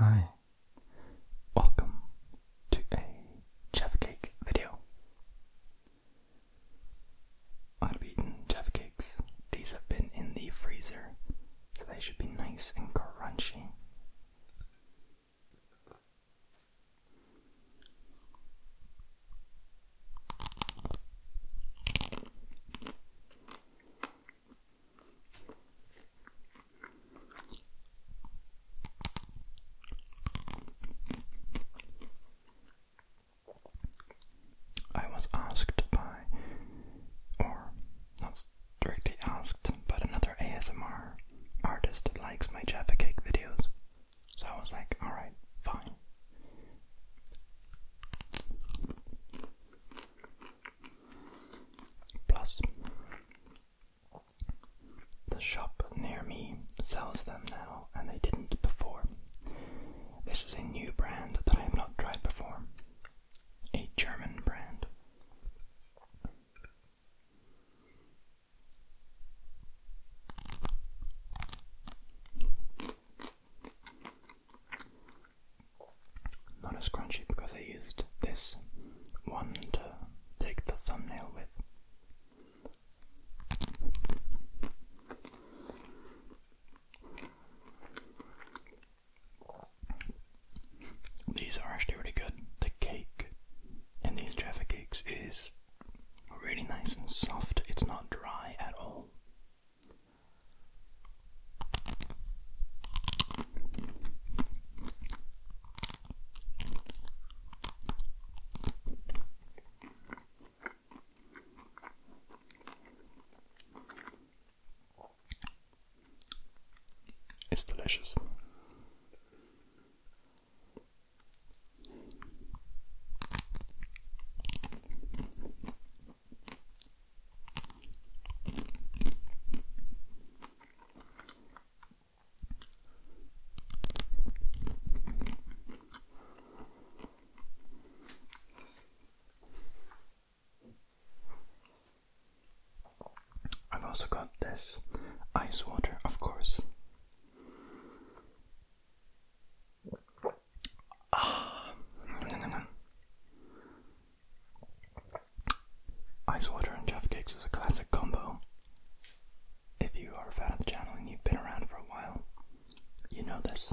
Hi, welcome to a Jaffa Cake video. I'm gonna These have been in the freezer, so they should be nice and crunchy. I was asked by, or not directly asked, but another ASMR artist likes my Jaffa Cake videos. So I was like, alright, fine. Plus, the shop near me sells them now, and they didn't before. This is a new brand that I have not tried before, a German brand. Not as crunchy because I used this one to take the thumbnail with. These are actually really good. The cake in these Jaffa cakes is really nice and soft. It's not dry at all. It's delicious. I've also got this ice water, of course. Ah. Ice water and Jeff Cakes is a classic combo. If you are a fan of the channel and you've been around for a while, you know this.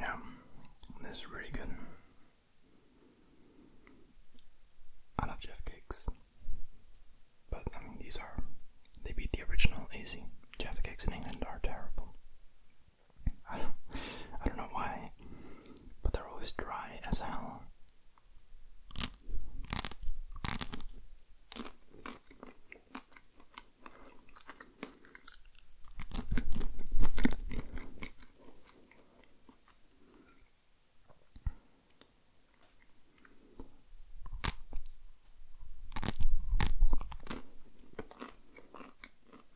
Yeah, this is really good. I love Jeff cakes, but I mean, these are they beat the original easy. Jeff cakes in England are terrible. I don't, know why, but they're always dry as hell.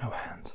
No hands.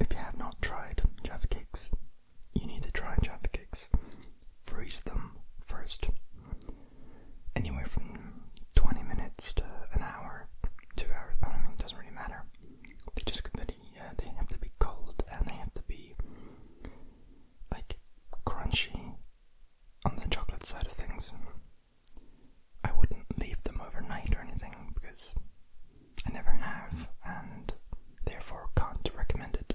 If you have not tried Jaffa Cakes, you need to try Java Cakes. Freeze them first. Anywhere from 20 minutes to an hour, two hours, I don't mean, it doesn't really matter. They just, uh, have to be cold and they have to be like crunchy on the chocolate side of things. I wouldn't leave them overnight or anything because I never have and therefore can't recommend it.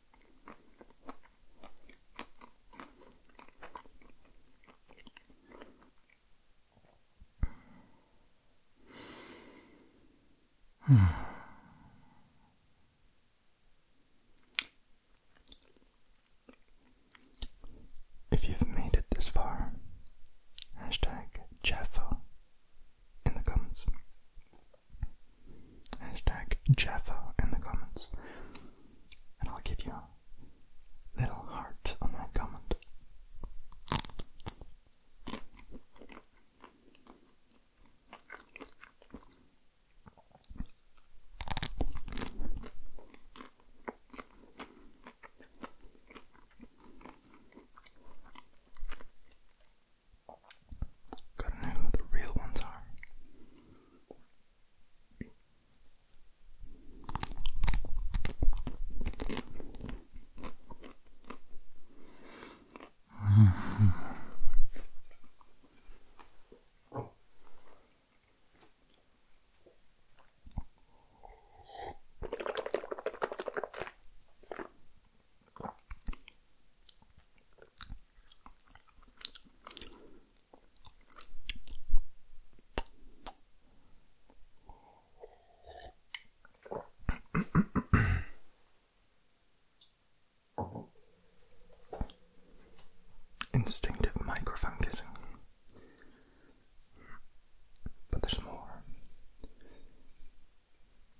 Hmm. If you've made it this far, hashtag Jaffa in the comments hashtag Jaffa in the comments, and I'll give you a little heart on that comment. Gotta know who the real ones are. Instinctive microphone kissing. But there's more.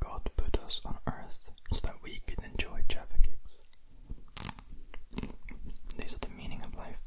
God put us on earth so that we could enjoy Jaffa cakes. These are the meaning of life.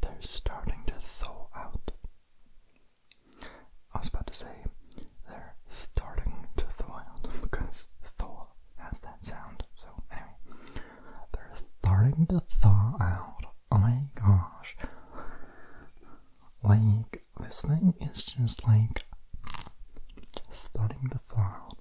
They're starting to thaw out. I was about to say they're starting to thaw out because thaw has that sound. So anyway, they're starting to thaw out. Oh my gosh. Like this thing is just like starting to thaw out.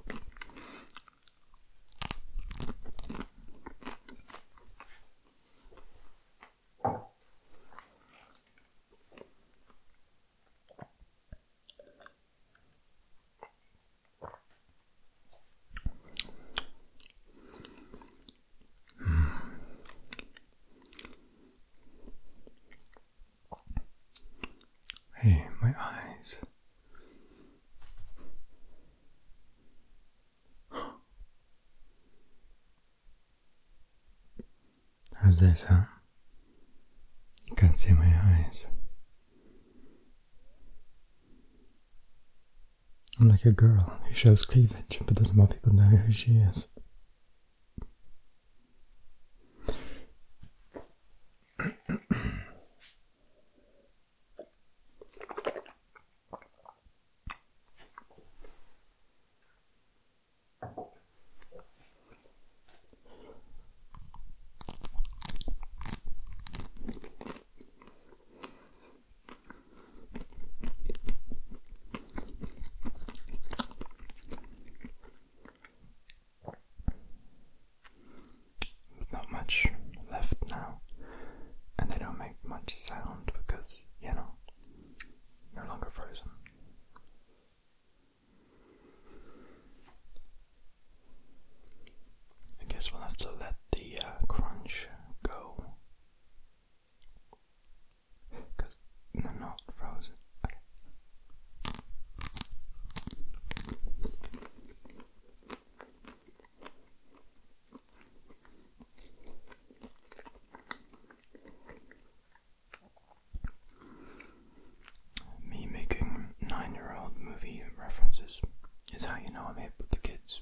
Hey, my eyes. How's that sound? You can't see my eyes. I'm like a girl who shows cleavage but doesn't want people to know who she is. There's not much left now, and they don't make much sound because, you know, no longer frozen. I guess we'll have to let the uh, crunch go. Because they're not frozen. Me making nine year old movie references is how you know I'm hip with the kids.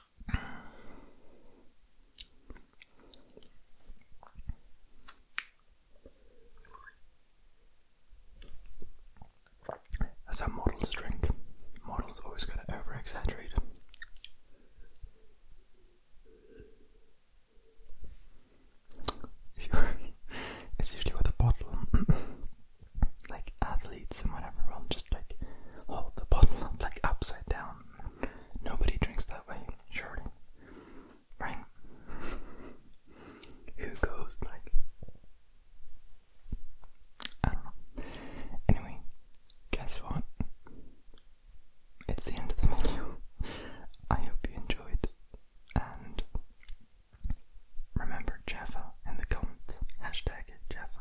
That's how models drink. Models always gotta over exaggerate. it's usually with a bottle. like athletes and whatever will just like hold the bottle like upside down Nobody drinks that way, surely. Right? Who goes like. I don't know. Anyway, guess what? It's the end of the video. I hope you enjoyed. And remember Jaffa in the comments. Hashtag Jaffa.